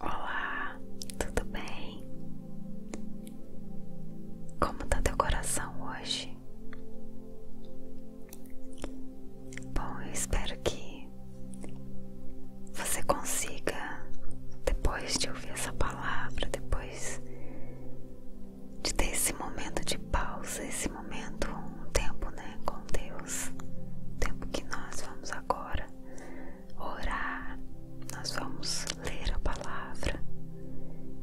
Olá, tudo bem? Como está teu coração hoje? Bom, eu espero que você consiga, depois de ouvir essa palavra, depois de ter esse momento de pausa, esse momento, um tempo, né, com Deus, o tempo que nós vamos agora orar, nós vamos ler a palavra.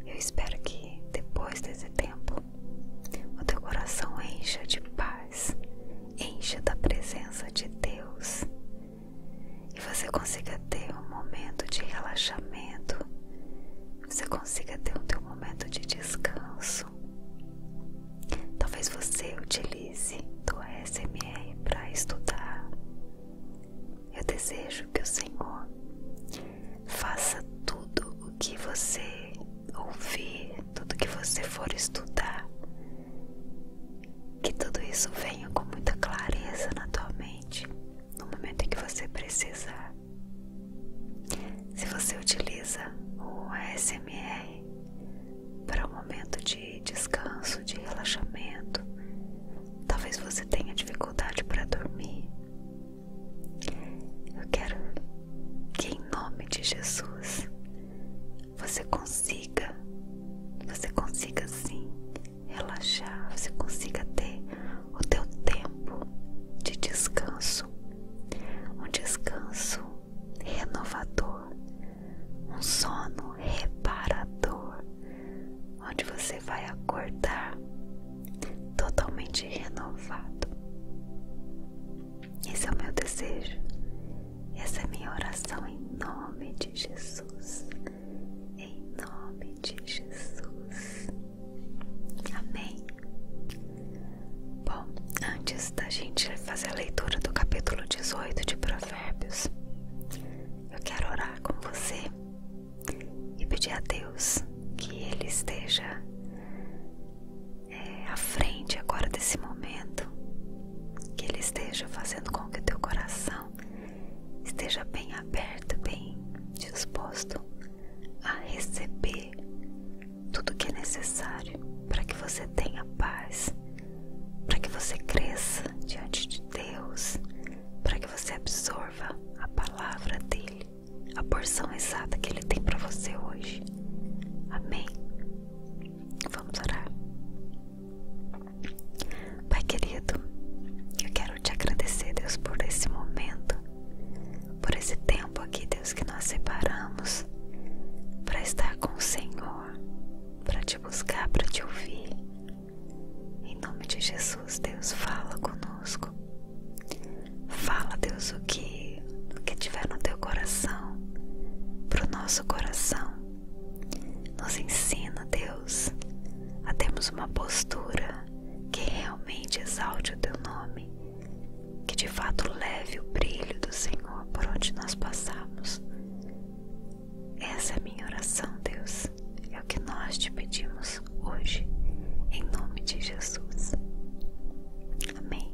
Eu espero que depois desse tempo o teu coração encha de paz, encha da presença de Deus e você consiga ter um momento de relaxamento, você consiga ter um teu momento de descanso. Talvez você utilize o ASMR para estudar. Eu desejo que o Senhor faça tudo o que você ouvir, tudo que você for estudar, que tudo isso venha com muita clareza na tua mente no momento em que você precisar. Se você utiliza o ASMR, para um momento de descanso, de relaxamento. Talvez você tenha dificuldade para dormir. Eu quero que, em nome de Jesus, você consiga, você consiga sim relaxar, você consiga ter o teu tempo de descanso, um descanso renovador, um sono reparador, onde você vai acordar totalmente renovado. Esse é o meu desejo, essa é a minha oração em nome de Jesus. Em nome de Jesus. Amém. Bom, antes da gente fazer a leitura do capítulo 18 de Provérbios, Provérbios. Eu quero orar com você e pedir a Deus que Ele esteja é, à frente agora desse momento, que Ele esteja fazendo com que o teu coração esteja bem aberto, bem disposto a receber tudo que é necessário para que você tenha paz para que você cresça diante de Deus, para que você absorva a palavra dele, a porção exata que ele tem para você hoje. Amém. Vamos orar. Pai querido, eu quero te agradecer, Deus, por esse momento, por esse tempo aqui, Deus, que nós separamos para estar com o Senhor para te buscar, para te ouvir. Em nome de Jesus, Deus, fala conosco. Fala, Deus, o que, o que tiver no teu coração, para o nosso coração. Nos ensina, Deus, a termos uma postura que realmente exalte o teu nome, que de fato leve o brilho do Senhor por onde nós passamos. Essa é a minha oração, Deus. É o que nós te pedimos hoje, em nome de Jesus. Amém.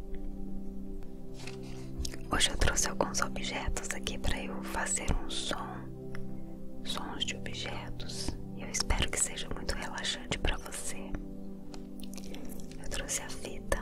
Hoje eu trouxe alguns objetos aqui para eu fazer um som, sons de objetos. Eu espero que seja muito relaxante para você. Eu trouxe a fita,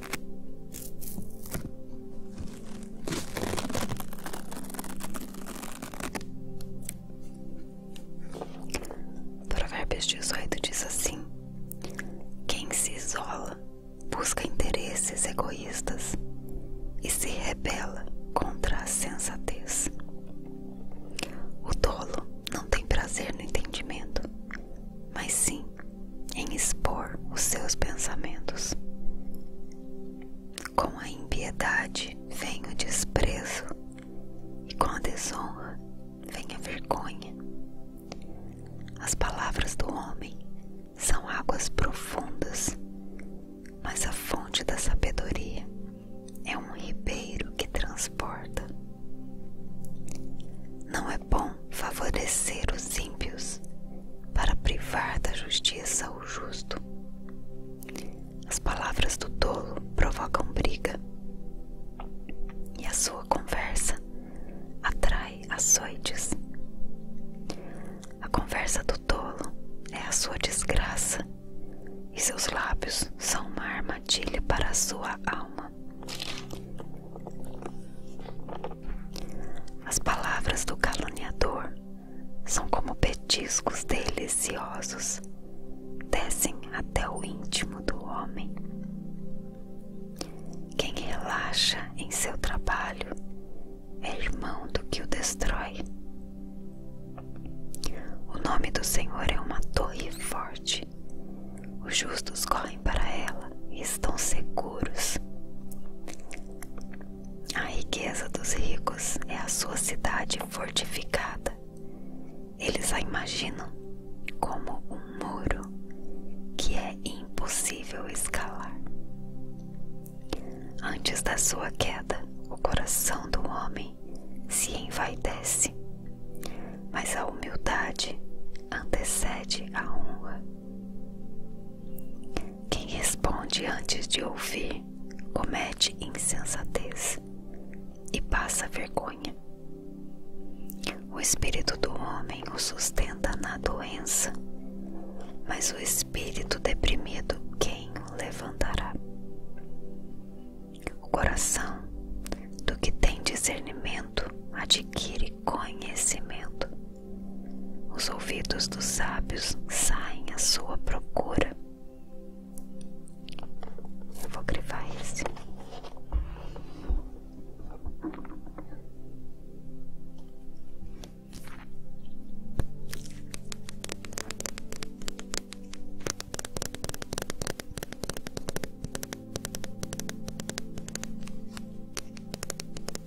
Provérbios 18 diz assim: Quem se isola busca interesses egoístas e se rebela contra a sensatez. O tolo não tem prazer no entendimento, mas sim em expor os seus pensamentos. Com a impiedade vem o desprezo, e com a desonra vem a vergonha. As palavras do homem são águas profundas, mas a fonte da sabedoria é um ribeiro que transporta. Não é é bom favorecer os ímpios para privar da justiça o justo. As palavras do tolo provocam briga, e a sua conversa atrai açoites. A conversa do tolo é a sua desgraça, e seus lábios são uma armadilha para a sua alma. As palavras do caluniador são como petiscos deliciosos, descem até o íntimo do homem. Quem relaxa em seu trabalho é irmão do que o destrói. O nome do Senhor é uma torre forte, os justos correm para ela estão seguros. A riqueza dos ricos é a sua cidade fortificada. Eles a imaginam como um muro que é impossível escalar. Antes da sua queda, o coração do homem se envaidece, mas a humildade antecede a honra. Quem responde antes de ouvir comete insensatez e passa vergonha. O espírito do homem o sustenta na doença, mas o espírito deprimido quem o levantará? O coração do que tem discernimento adquire conhecimento os ouvidos dos sábios saem à sua procura. vou crivar esse.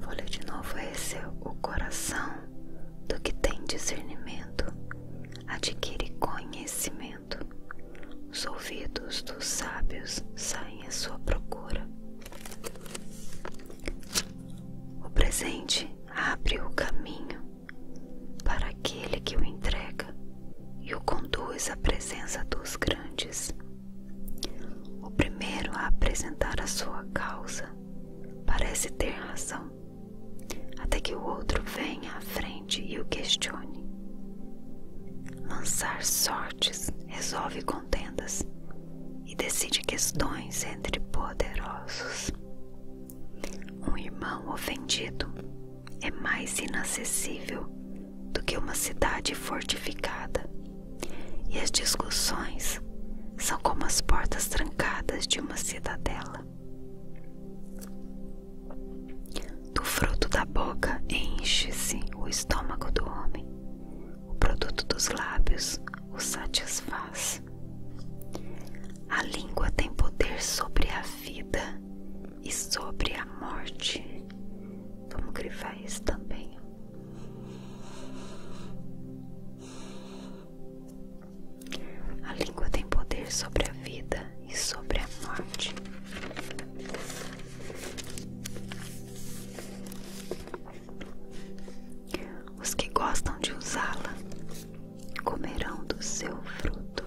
Vou ler de novo esse é o coração do que tem discernimento adquire conhecimento os ouvidos dos sábios saem à sua procura. O presente abre o caminho para aquele que o entrega e o conduz à presença dos grandes. O primeiro a apresentar a sua causa parece ter razão, até que o outro venha à frente e o questione. Lançar sortes resolve contendas e decide questões entre poderosos. Um irmão ofendido é mais inacessível do que uma cidade fortificada, e as discussões são como as portas trancadas de uma cidadela. Do fruto da boca enche-se o estômago do homem, o produto dos lábios o satisfaz. A língua tem poder sobre a vida e sobre a morte. Vamos grivar isso também. A língua tem poder sobre a vida e sobre a morte. Os que gostam de usá-la comerão do seu fruto.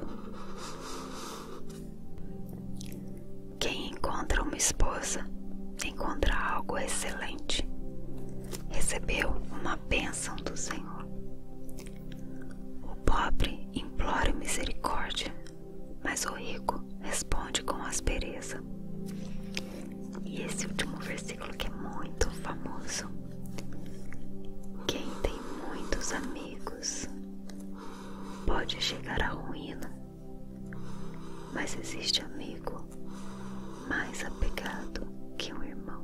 Quem encontra uma esposa encontra algo excelente. Recebeu uma bênção do Senhor. O pobre implora misericórdia, mas o rico responde com aspereza. E esse último versículo que é muito famoso. Quem tem muitos amigos pode chegar à ruína, mas existe amigo mais apegado que um irmão.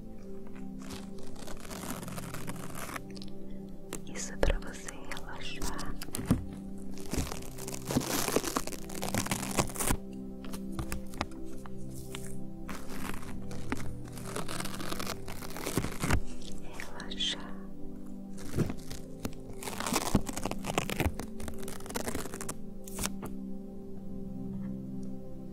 Isso é para você relaxar. Relaxar.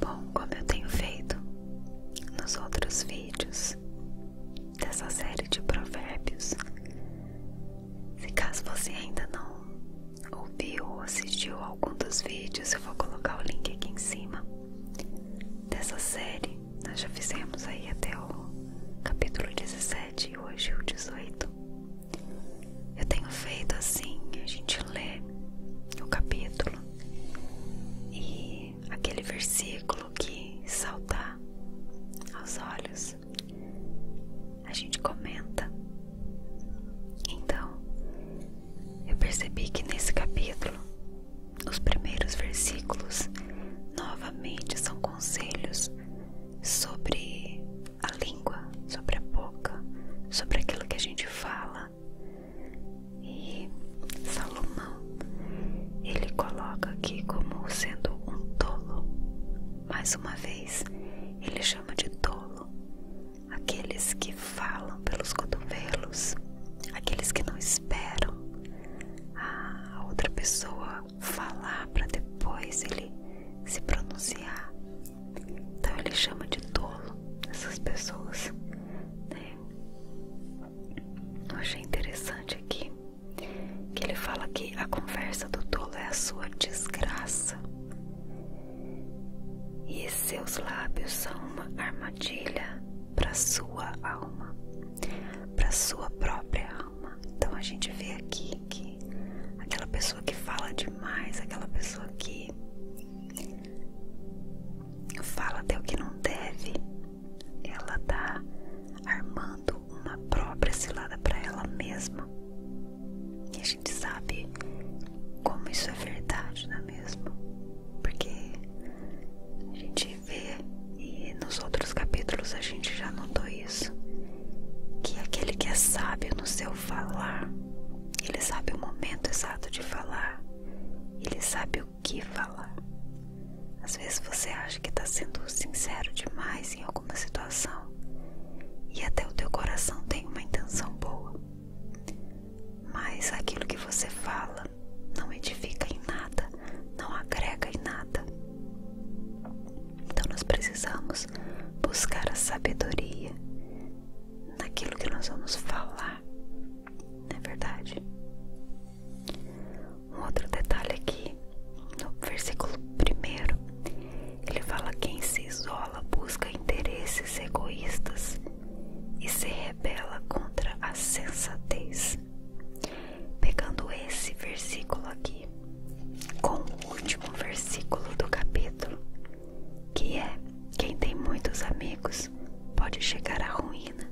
Bom, como eu tenho feito nos outros vídeos dessa série de provérbios, se caso você ainda não ouviu ou assistiu algum dos vídeos, eu vou colocar o link aqui em cima dessa série. Nós já fizemos aí até o capítulo 17 e hoje o 18. Eu tenho feito assim, a gente lê o capítulo e aquele versículo que salta aos olhos, a gente comenta. Então, eu percebi que nesse capítulo, os primeiros versículos novamente são conselhos sobre a língua, sobre a boca, sobre aquilo que a gente fala, e Salomão, ele coloca aqui como sendo um tolo. Mais uma vez, ele chama de tolo aqueles que falam pelos cotovelos, aqueles que não esperam a outra pessoa falar para depois ele se pronunciar. Então ele chama de tolo essas pessoas. Né? Eu achei interessante aqui que ele fala que a conversa do tolo é a sua desgraça. E seus lábios são uma armadilha para sua alma, para sua própria alma. Então a gente vê aqui que aquela pessoa que fala demais, aquela pessoa que Fala até o que não deve. Ela tá armando uma própria cilada para ela mesma. E a gente sabe como isso é verdade, não é mesmo? Porque a gente vê e nos outros capítulos a gente já notou isso. Que aquele que é sábio no seu falar, ele sabe o momento exato de falar, ele sabe o que falar. Às vezes você acha que está sendo sincero demais em alguma situação e até o teu coração tem uma intenção boa, mas aquilo que você fala não edifica em nada, não agrega em nada. Então nós precisamos buscar a sabedoria naquilo que nós vamos falar não é verdade? Um outro detalhe aqui, no versículo primeiro, ele fala: quem se isola busca interesses egoístas e se rebela contra a sensatez. Pegando esse versículo aqui com o último versículo do capítulo, que é quem tem muitos amigos pode chegar à ruína,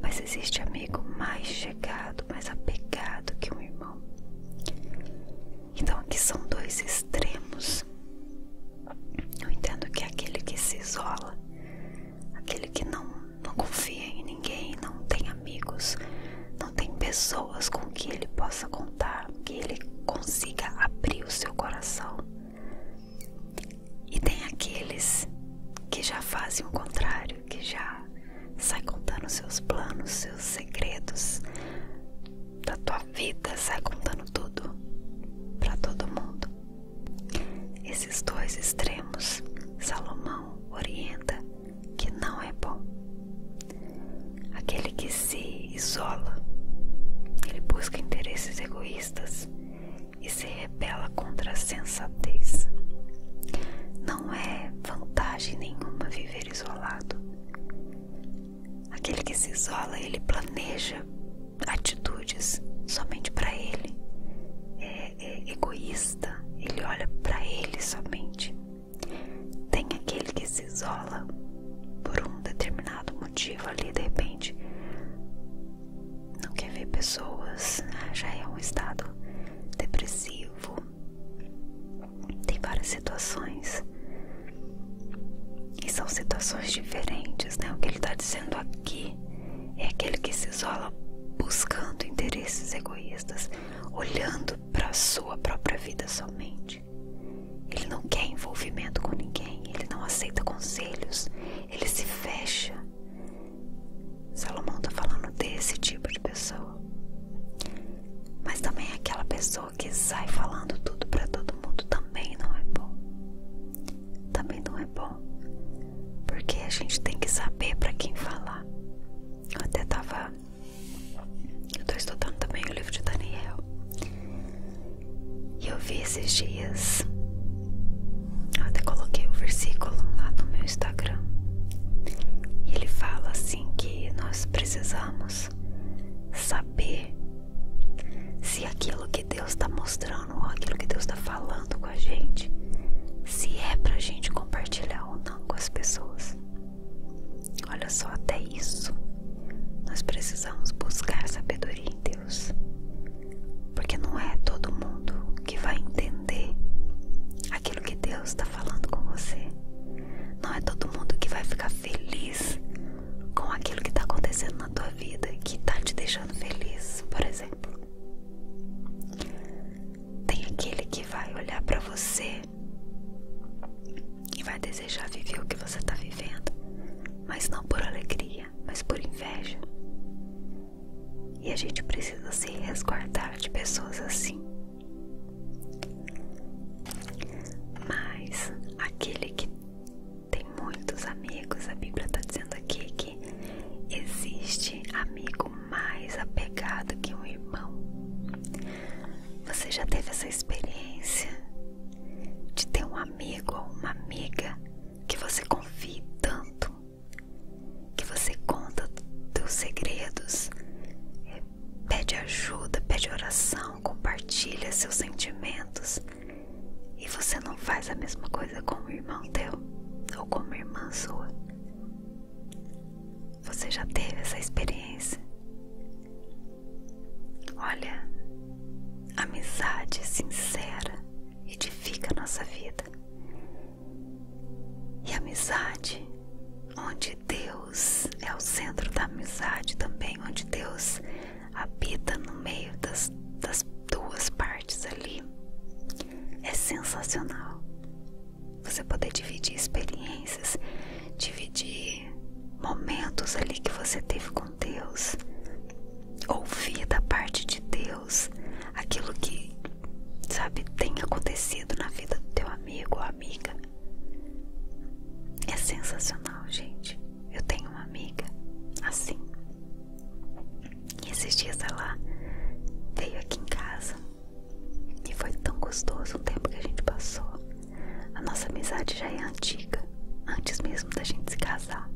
mas existe amigo mais chegado, mais apegado que um irmão. Então aqui são dois extremos. Eu entendo que aquele que se isola, aquele que não, não confia em ninguém, não tem amigos, não tem pessoas com que ele possa contar, que ele consiga abrir o seu coração. E tem aqueles que já fazem o contrário, que já sai contando seus planos, seus segredos da tua vida, sai contando tudo para todo mundo. Esses dois extremos, Salomão orienta que não é bom. Aquele que se isola, ele busca interesses egoístas e se rebela contra a sensatez. Não é vantagem nenhuma viver isolado. Aquele que se isola, ele planeja atitudes somente para ele. É, é egoísta, ele olha para ele somente. Tem aquele que se isola por um determinado motivo ali, de repente não quer ver pessoas, né? já é um estado depressivo. Tem várias situações. E são situações diferentes, né? O que ele está dizendo aqui é aquele que se isola buscando interesses egoístas, olhando para a sua própria vida somente. Ele não quer envolvimento com ninguém, ele não aceita conselhos, ele se fecha. Salomão está falando desse tipo de pessoa. Mas também é aquela pessoa que sai falando tudo para todo mundo também não é bom. Também não é bom. Porque a gente tem que saber para quem falar. Eu até tava. Eu tô estudando também o livro de Daniel. E eu vi esses dias, até coloquei o versículo lá no meu Instagram. E ele fala assim que nós precisamos saber se aquilo que Deus está mostrando ou aquilo que Deus está falando com a gente, se é pra gente compartilhar ou não com as pessoas. Olha só, até isso, nós precisamos buscar sabedoria em Deus, porque não é todo mundo que vai entender aquilo que Deus está falando com você, não é todo mundo que vai ficar feliz com aquilo que está acontecendo na tua vida, que está te deixando feliz, por exemplo. Tem aquele que vai olhar para você e vai desejar viver o que você está vivendo, mas não por alegria, mas por inveja. E a gente precisa se resguardar de pessoas assim. Mas aquele que tem muitos amigos, a Bíblia está dizendo aqui que existe amigo mais apegado que um irmão. Você já teve essa experiência de ter um amigo ou uma amiga que você confie tanto, que você conta seus segredos, eh, pede ajuda, pede oração, compartilha seus sentimentos e você não faz a mesma coisa com o irmão teu ou com a irmã sua. Você já teve essa experiência? Olha, amizade sincera edifica a nossa vida. E amizade, onde Deus é o centro da amizade também, onde Deus habita no meio das, das duas partes ali, é sensacional. Você poder dividir experiências, dividir momentos ali que você teve com Deus, ouvir da parte de Deus aquilo que, sabe, tem acontecido na vida do teu amigo ou amiga. É sensacional, gente. Eu tenho uma amiga assim. E esses dias ela veio aqui em casa e foi tão gostoso o tempo que a gente passou. A nossa amizade já é antiga, antes mesmo da gente se casar.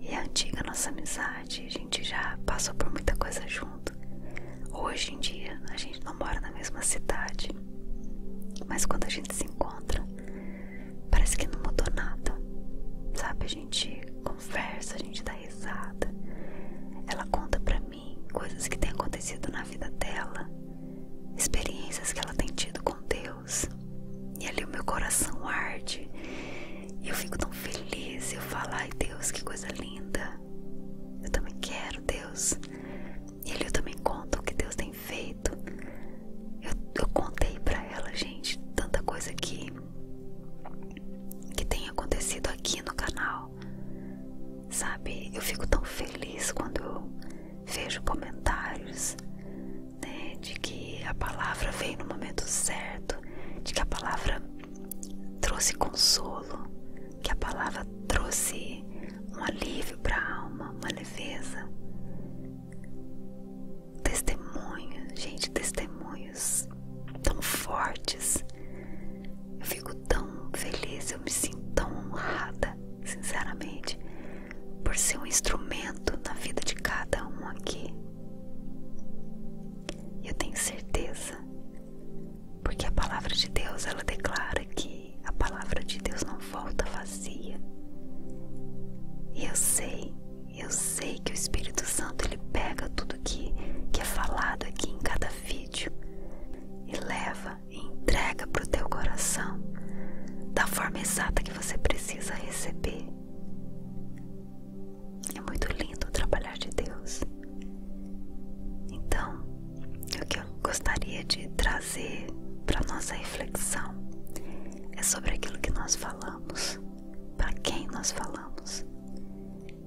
E é antiga a nossa amizade, a gente já passou por muita coisa junto. Hoje em dia a gente não mora na mesma cidade, mas quando a gente se encontra, parece que não mudou nada. Sabe, a gente conversa, a gente dá risada. Ela conta pra mim coisas que têm acontecido na vida dela, experiências que ela tem tido com Deus e ali o meu coração arde. E eu fico tão feliz. Eu falo, ai Deus, que coisa linda. Eu também quero, Deus. E ali eu também conto o que Deus tem feito. Eu, contei para ela, gente, tanta coisa que, que tem acontecido aqui no canal. Sabe, eu fico tão feliz quando vejo comentários né, de que a palavra veio no momento certo, de que a palavra trouxe consolo, que a palavra trouxe um alívio para a alma, uma leveza. Testemunhos, gente, testemunhos tão fortes. Eu fico tão feliz, eu me sinto tão honrada, sinceramente, por ser um instrumento na vida de cada um aqui. Eu tenho certeza, porque a palavra de Deus ela declara que a palavra de Deus não volta vazia. E eu sei, eu sei que o Espírito Santo ele pega tudo que que é falado aqui em cada vídeo e leva entrega para o teu coração da forma exata que você precisa receber. É muito lindo o trabalhar de Deus. Então, o que eu gostaria de trazer para nossa reflexão é sobre aquilo que nós falamos, para quem nós falamos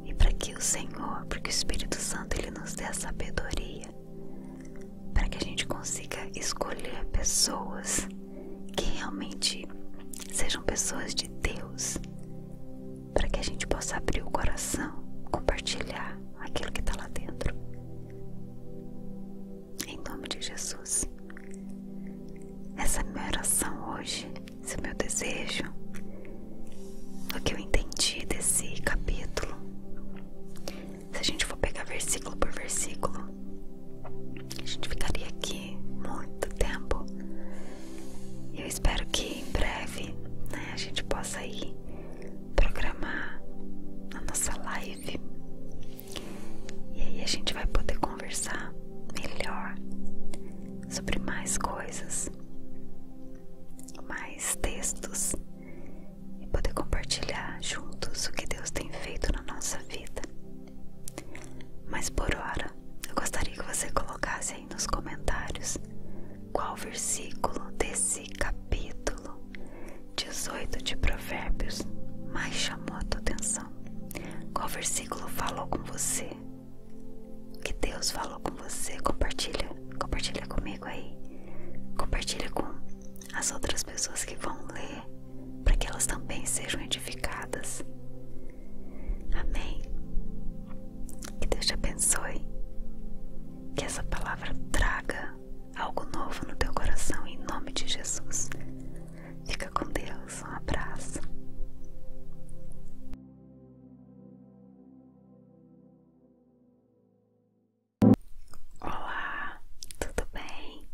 e para que o Senhor, porque o Espírito Santo ele nos dê a sabedoria para que a gente consiga escolher pessoas que realmente sejam pessoas de Deus, para que a gente possa abrir o coração, compartilhar aquilo que está lá dentro. Em nome de Jesus. Essa é a minha oração hoje, esse é o meu desejo, o que eu entendi desse capítulo se a gente for pegar versículo por versículo, a gente ficaria aqui muito tempo. E eu espero que em breve né, a gente possa ir programar a nossa live. E aí a gente vai poder conversar melhor sobre mais coisas, mais textos e poder compartilhar juntos o que Deus tem feito na nossa vida. Mas por hora, eu gostaria que você colocasse aí nos comentários qual versículo desse capítulo 18 de Provérbios mais chamou a tua atenção. Qual versículo falou com você? O que Deus falou com você? Compartilha, compartilha comigo aí. Compartilha com as outras pessoas que vão ler, para que elas também sejam edificadas. Amém. Que Deus te abençoe. Que essa palavra traga algo novo no teu coração, em nome de Jesus. Fica com Deus. Um abraço. Olá, tudo bem?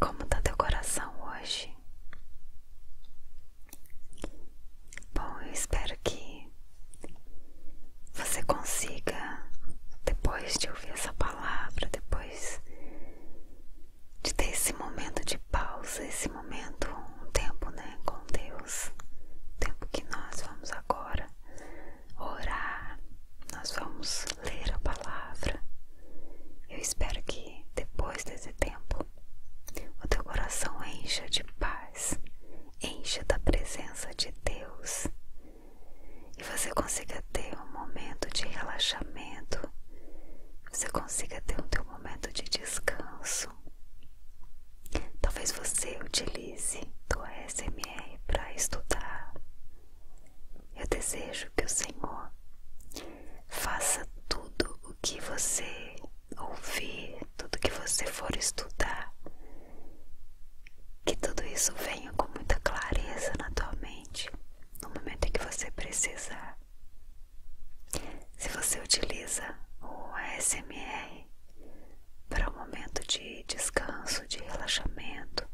Como tá teu coração hoje? Bom, eu espero que você consiga, depois de ouvir essa palavra, depois de ter esse momento de pausa, esse momento, um tempo, né, com Deus, o tempo que nós vamos agora orar, nós vamos ler a palavra. Eu espero que depois desse tempo o teu coração encha de paz, encha da presença de Deus e você consiga ter um momento de relaxamento, você consiga ter o um teu momento de descanso. Talvez você utilize o ASMR para estudar. Eu desejo que o Senhor faça tudo o que você ouvir, tudo que você for estudar, que tudo isso venha com muita clareza na tua mente no momento em que você precisar. Se você utiliza o ASMR, para um momento de descanso, de relaxamento.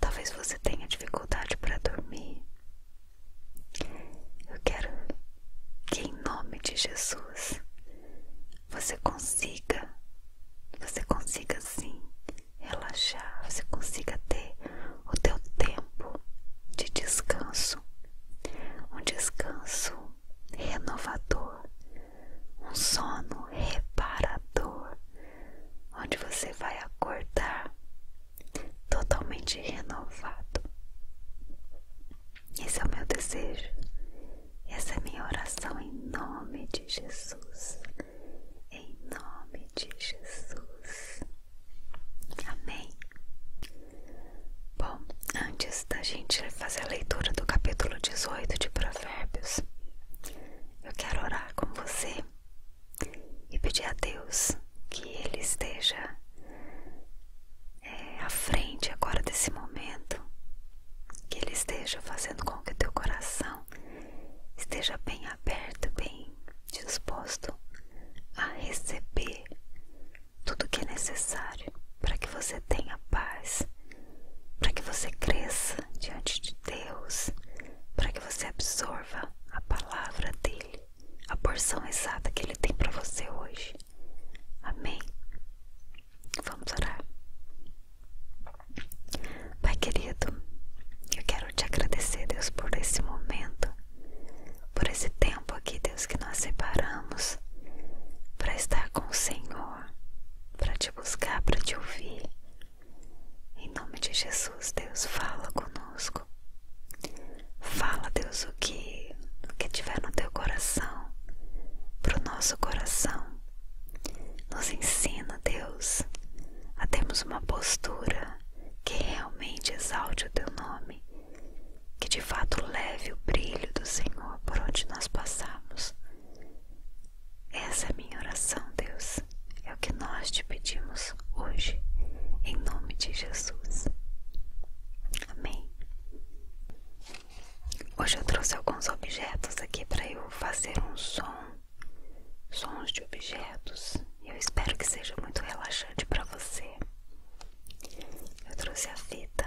Talvez você tenha dificuldade para dormir. Eu quero que, em nome de Jesus, você consiga, você consiga sim relaxar, você consiga ter o teu tempo de descanso, um descanso renovador, um sono reparador, onde você vai acordar totalmente renovado. Esse é o meu desejo, essa é minha oração em nome de Jesus. Em nome de Jesus. Amém. Bom, antes da gente fazer a leitura do capítulo 18 de Provérbios, Provérbios, eu quero orar com você e pedir a Deus que Ele esteja eh, à frente agora desse momento, que Ele esteja fazendo com que o teu coração esteja bem aberto, bem disposto a receber tudo que é necessário para que você tenha paz para que você cresça diante de Deus, para que você absorva a palavra dele, a porção exata que ele tem para você hoje. Amém. Vamos orar. Pai querido, eu quero te agradecer, Deus, por esse momento, por esse tempo aqui, Deus, que nós separamos para estar com o Senhor para te buscar, para te ouvir. Em nome de Jesus, Deus, fala conosco. Fala, Deus, o que, o que tiver no teu coração, para o nosso coração. Nos ensina, Deus, a termos uma postura que realmente exalte o teu nome, que de fato leve o brilho do Senhor por onde nós passamos. Essa é a minha oração, Deus. É o que nós te pedimos hoje, em nome de Jesus. Amém. Hoje eu trouxe alguns objetos aqui para eu fazer um som, sons de objetos. Eu espero que seja muito relaxante para você. Eu trouxe a fita,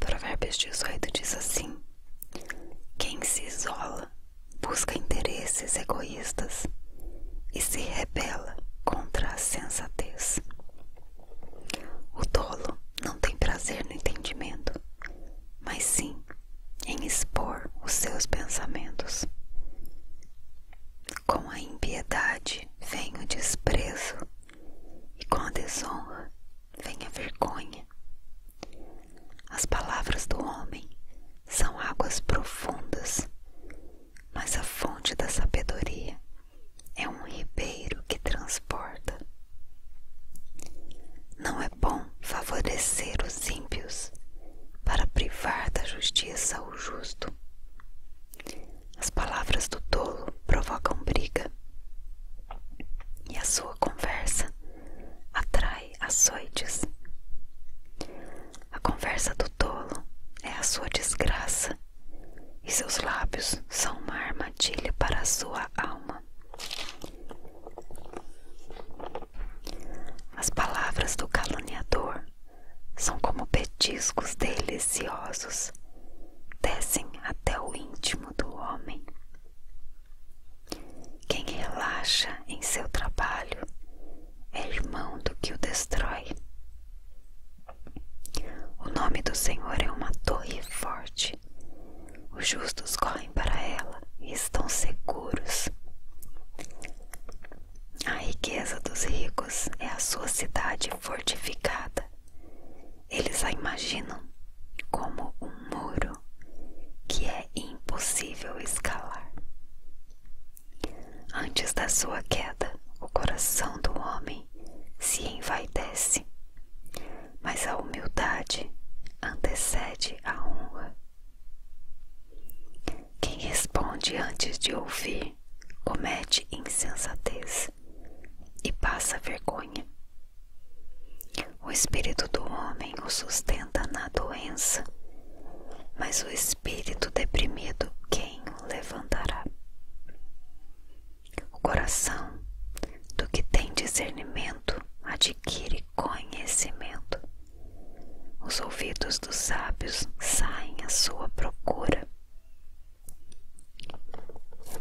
Provérbios 18 diz assim: Quem se isola busca interesses egoístas e se rebela contra a sensatez. O tolo não tem prazer no entendimento, mas sim em expor os seus pensamentos. Com a impiedade vem o desprezo, e com a desonra vem a vergonha. As palavras do homem são águas profundas, mas a fonte da sabedoria é um ribeiro que transporta. Não é é bom favorecer os ímpios para privar da justiça o justo. As palavras do tolo provocam briga, e a sua conversa atrai açoites. A conversa do tolo é a sua desgraça, e seus lábios são uma armadilha para a sua alma. As palavras do caluniador são como petiscos deliciosos, descem até o íntimo do homem. Quem relaxa em seu trabalho é irmão do que o destrói. O nome do Senhor é uma torre forte. Os justos correm para ela estão seguros. A riqueza dos ricos é a sua cidade fortificada. Eles a imaginam como um muro que é impossível escalar. Antes da sua queda, o coração do homem se envaidece, mas a humildade antecede a honra quem responde antes de ouvir comete insensatez e passa vergonha. O espírito do homem o sustenta na doença, mas o espírito deprimido quem o levantará? O coração do que tem discernimento adquire conhecimento, os ouvidos dos sábios saem à sua procura.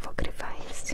vou crivar esse.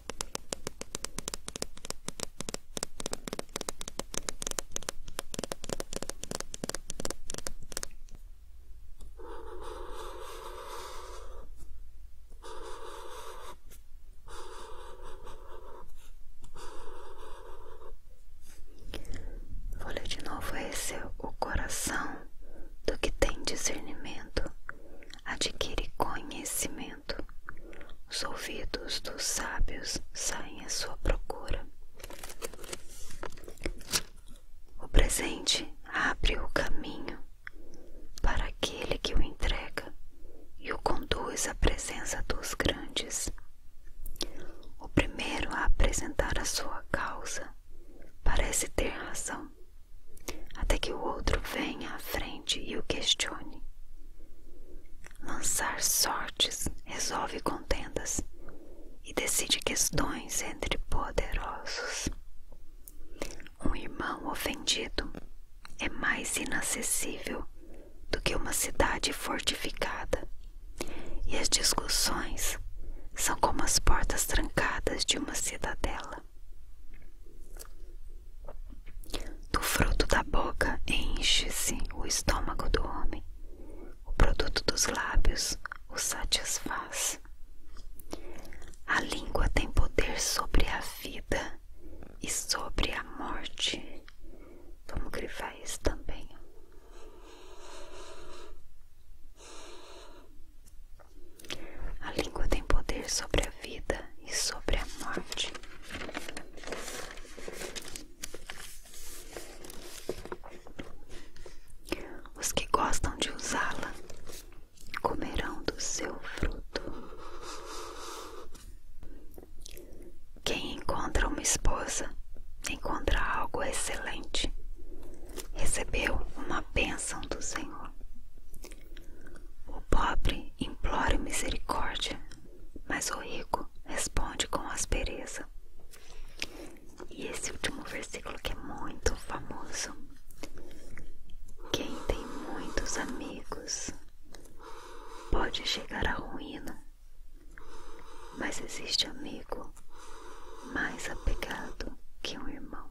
Vou ler de novo esse é o coração do que tem discernimento adquire conhecimento os ouvidos dos sábios saem à sua procura. O presente abre o caminho para aquele que o entrega e o conduz à presença dos grandes. O primeiro a apresentar a sua causa parece ter razão, até que o outro venha à frente e o questione. Lançar sortes resolve contendas e decide questões entre poderosos. Um irmão ofendido é mais inacessível do que uma cidade fortificada, e as discussões são como as portas trancadas de uma cidadela. Do fruto da boca enche-se o estômago do homem, o produto dos lábios o satisfaz. A língua tem poder sobre a vida e sobre a morte. Vamos grivar isso também. A língua tem poder sobre a vida e sobre a morte. Os que gostam de usá-la comerão do seu fruto. Quem encontra uma esposa encontra algo excelente. Recebeu uma bênção do Senhor. O pobre implora misericórdia, mas o rico responde com aspereza. E esse último versículo que é muito famoso. Quem tem muitos amigos pode chegar à ruína, mas existe amigo mais apegado que um irmão.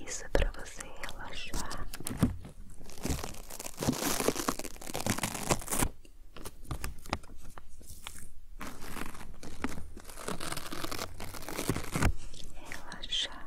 Isso é para você relaxar. Relaxar.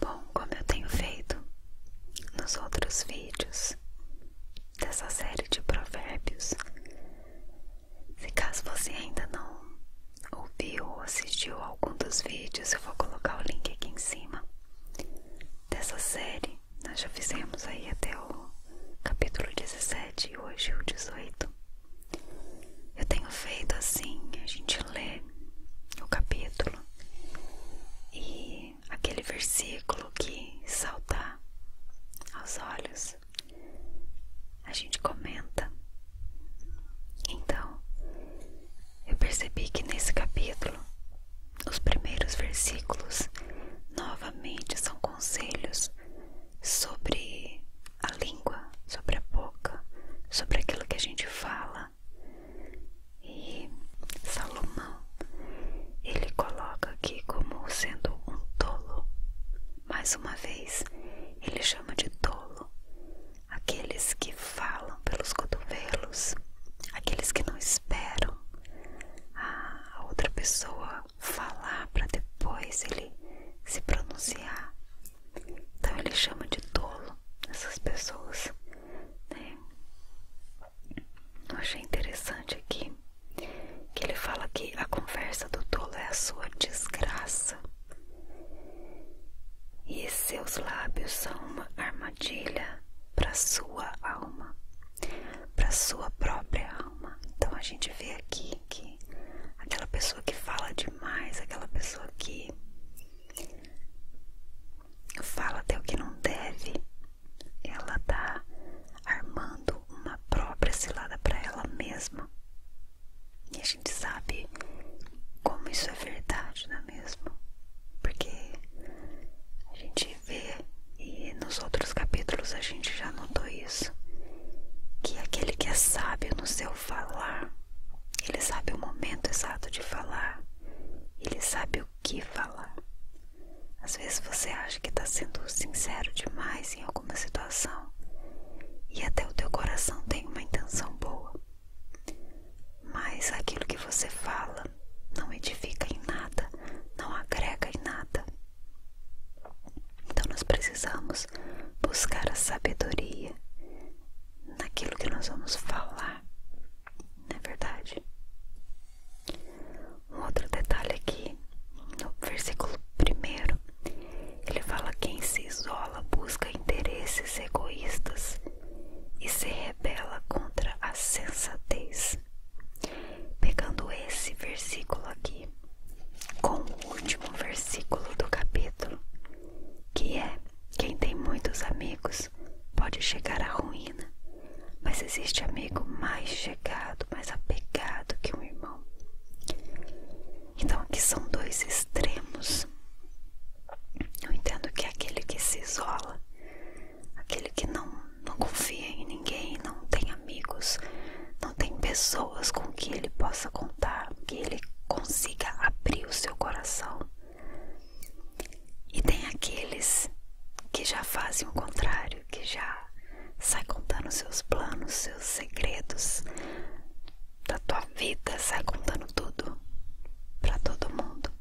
Bom, como eu tenho feito nos outros vídeos dessa série de provérbios, se caso você ainda não ouviu ou assistiu algum dos vídeos, eu vou colocar o link aqui em cima dessa série. Nós já fizemos aí até o capítulo 17 e hoje o 18. Eu tenho feito assim, a gente gente o capítulo e aquele versículo que saltar aos olhos, a gente comenta. Então, eu percebi que nesse capítulo, os primeiros versículos novamente são conselhos sobre a língua, sobre a boca, sobre aquilo que a gente fala, e Salomão ele coloca aqui como sendo um tolo. Mais uma vez, ele chama de tolo aqueles que falam pelos cotovelos, aqueles que não esperam a outra pessoa falar para depois ele se pronunciar. Então ele chama de tolo essas pessoas. Né? Eu achei interessante aqui que ele fala que a conversa do tolo é a sua desgraça. E seus lábios são uma armadilha para sua alma, para sua própria alma. Então a gente vê aqui que aquela pessoa que fala demais, aquela pessoa que fala até o que não deve, ela tá armando uma própria cilada para ela mesma. E a gente sabe como isso é verdade, não é mesmo? Porque a gente vê e nos outros capítulos a gente já notou isso. Que aquele que é sábio no seu falar, ele sabe o momento exato de falar, ele sabe o que falar. Às vezes você acha que está sendo sincero demais em alguma situação e até o teu coração tem uma intenção boa, mas aquilo que você fala não edifica em nada, não agrega em nada. Então nós precisamos buscar a sabedoria naquilo que nós vamos falar, não é verdade? Um outro detalhe aqui, no versículo primeiro, ele fala: quem se isola busca interesses egoístas e se rebela contra a sensatez. Pegando esse versículo aqui com o último versículo do capítulo, que é quem tem muitos amigos pode chegar à ruína, mas existe amigo mais chegado, mais apegado que um irmão. Então aqui são dois extremos. Eu entendo que é aquele que se isola, aquele que não, não confia em ninguém, não tem amigos, não tem pessoas com que ele possa contar, que ele consiga abrir o seu coração. E tem aqueles que já fazem o contrário, que já sai contando seus planos, seus segredos da tua vida, sai contando tudo para todo mundo.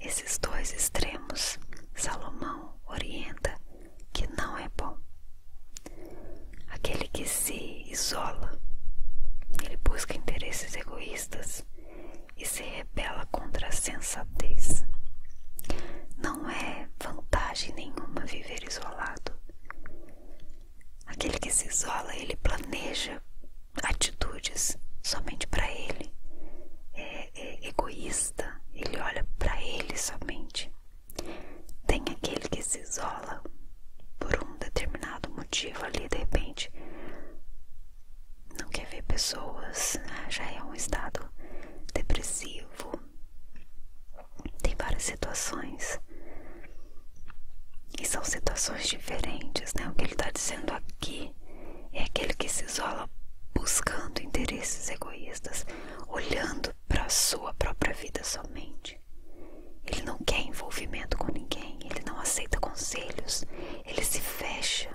Esses dois extremos, Salomão orienta que não é bom. Aquele que se isola, ele busca interesses egoístas e se rebela contra a sensatez. Não é vantagem nenhuma viver isolado. Aquele que se isola, ele planeja atitudes somente para ele. É, é egoísta, ele olha para ele somente. Tem aquele que se isola por um determinado motivo ali de repente não quer ver pessoas, né? já é um estado depressivo. Tem várias situações. E são situações diferentes, né? O que ele está dizendo aqui é aquele que se isola buscando interesses egoístas, olhando para sua própria vida somente. Ele não quer envolvimento com ninguém, ele não aceita conselhos, ele se fecha.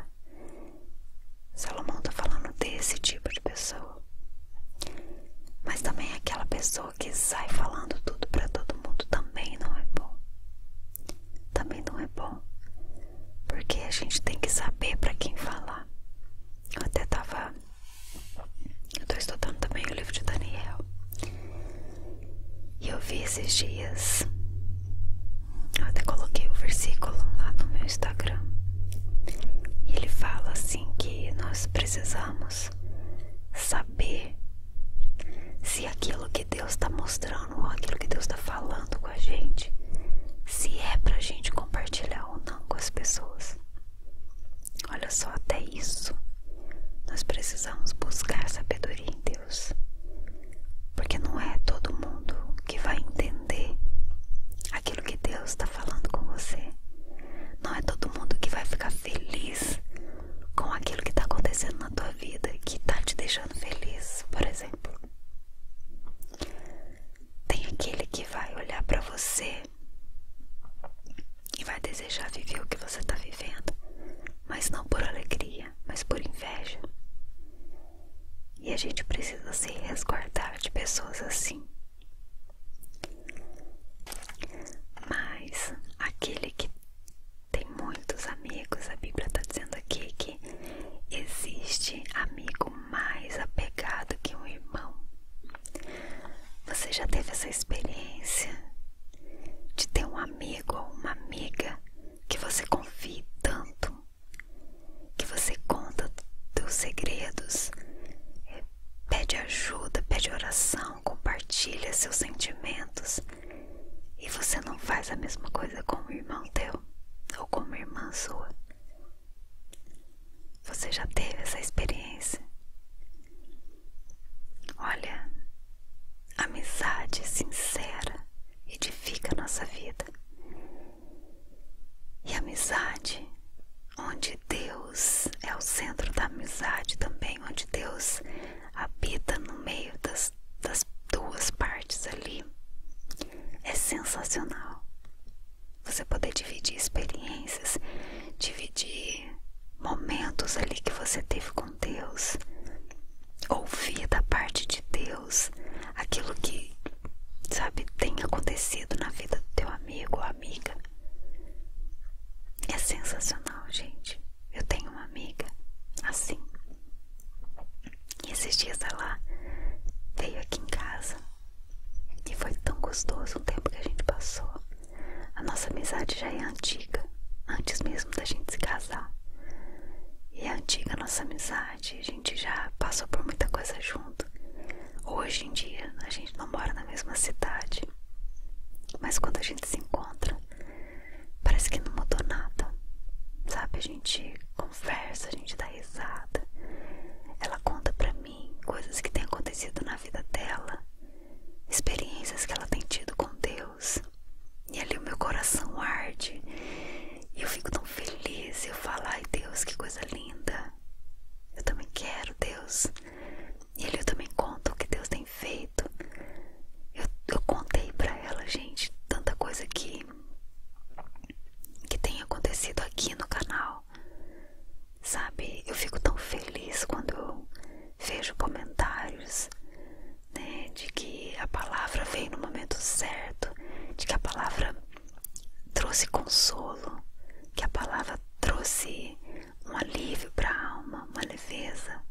Salomão está falando desse tipo de pessoa. Mas também é aquela pessoa que sai falando tudo para todo mundo também não é bom. Também não é bom. Porque a gente tem que saber para quem falar. Eu até tava. Eu tô estudando também o livro de Daniel. E eu vi esses dias, até coloquei o versículo lá no meu Instagram, e ele fala assim que nós precisamos saber se aquilo que Deus está mostrando ou aquilo que Deus está falando com a gente, se é pra gente compartilhar ou não com as pessoas. Olha só, até isso nós precisamos buscar sabedoria em Deus, porque não é todo mundo que vai entender aquilo que Deus está falando com você, não é todo mundo que vai ficar feliz com aquilo que está acontecendo na tua vida, que está te deixando feliz, por exemplo. Tem aquele que vai olhar para você e vai desejar viver o que você está vivendo, mas não por alegria, mas por inveja. E a gente precisa se resguardar de pessoas assim. Mas aquele que tem muitos amigos, a Bíblia está dizendo aqui que existe amigo mais apegado que um irmão. Você já teve essa experiência de ter um amigo ou uma amiga que você confie tanto, que você conta seus segredos, eh, pede ajuda, pede oração, compartilha seus sentimentos e você não faz a mesma coisa com o irmão teu ou com uma irmã sua. Você já teve essa experiência? Olha, amizade sincera edifica a nossa vida. E amizade, onde Deus é o centro da amizade também, onde Deus habita no meio das, das duas partes ali, é sensacional. Você poder dividir experiências, dividir momentos ali que você teve com Deus, ouvir da parte de Deus aquilo que, sabe, tem acontecido na vida do teu amigo ou amiga. É sensacional, gente. Eu tenho uma amiga assim. E esses dias ela veio aqui em casa. E foi tão gostoso o tempo que a gente passou. A nossa amizade já é antiga, antes mesmo da gente se casar. E é antiga a nossa amizade, a gente já passou por muita coisa junto. Hoje em dia a gente não mora na mesma cidade, mas quando a gente se encontra, parece que não mudou nada. Sabe, a gente conversa, a gente dá risada. Ela conta pra mim coisas que têm acontecido na vida dela, experiências que ela tem tido com Deus. E ali o meu coração arde. E eu fico tão feliz. Eu falo, ai Deus, que coisa linda. Eu também quero, Deus. E ali eu também conto o que Deus tem feito. Eu, eu contei para ela, gente, tanta coisa que, que tem acontecido aqui no canal. Sabe, eu fico tão feliz quando vejo comentários né, de que a palavra veio no momento certo, de que a palavra trouxe consolo, que a palavra trouxe um alívio para a alma, uma leveza.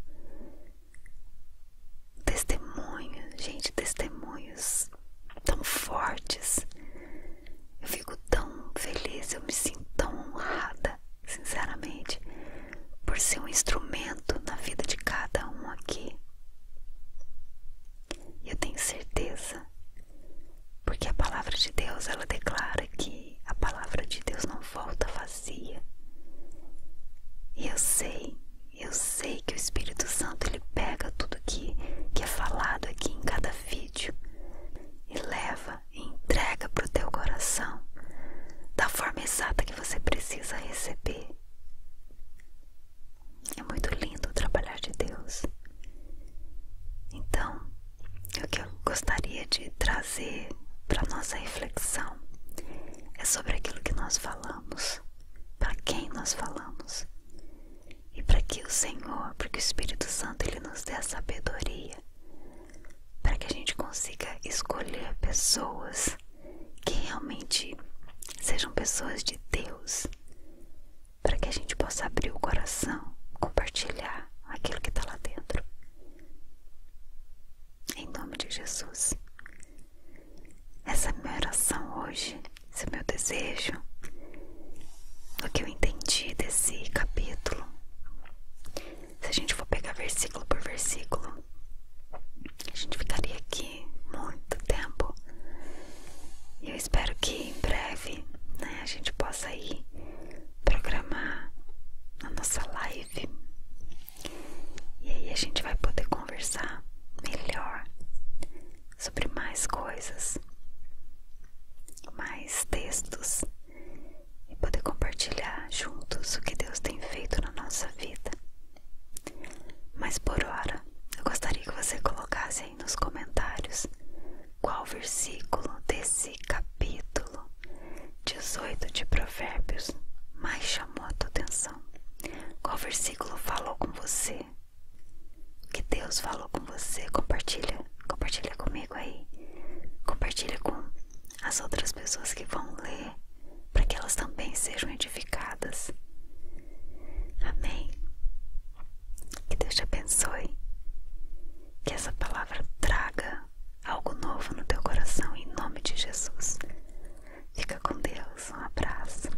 Testemunhos, gente, testemunhos tão fortes. Eu fico tão feliz, eu me sinto tão honrada sinceramente, por ser um instrumento na vida de cada um aqui. Eu tenho certeza, porque a palavra de Deus ela declara que a palavra de Deus não volta vazia. E eu sei, eu sei que o Espírito Santo ele pega tudo que, que é falado aqui em cada vídeo e leva e entrega para o teu coração da forma exata que você precisa receber. É muito lindo o trabalhar de Deus. Então, o que eu gostaria de trazer para nossa reflexão é sobre aquilo que nós falamos, para quem nós falamos. E para que o Senhor, porque o Espírito Santo ele nos dê a sabedoria para que a gente consiga escolher pessoas que realmente sejam pessoas de Deus, para que a gente possa abrir o coração, compartilhar aquilo que está lá dentro. Em nome de Jesus. Essa é minha oração hoje, esse é meu desejo, o que eu entendi desse capítulo se a gente for pegar versículo por versículo, a gente ficaria aqui muito tempo. E eu espero que em breve né, a gente possa ir programar a nossa live. E aí a gente vai poder conversar melhor sobre mais coisas, mais textos e poder compartilhar juntos o que Deus tem feito na nossa vida. Mas por hora, eu gostaria que você colocasse aí nos comentários qual versículo desse capítulo 18 de Provérbios mais chamou a tua atenção. Qual versículo falou com você? o Que Deus falou com você, compartilha, compartilha comigo aí. Compartilha com as outras pessoas que vão ler, para que elas também sejam edificadas. Amém. Que Deus te abençoe. Que essa palavra traga algo novo no teu coração, em nome de Jesus. Fica com Deus. Um abraço.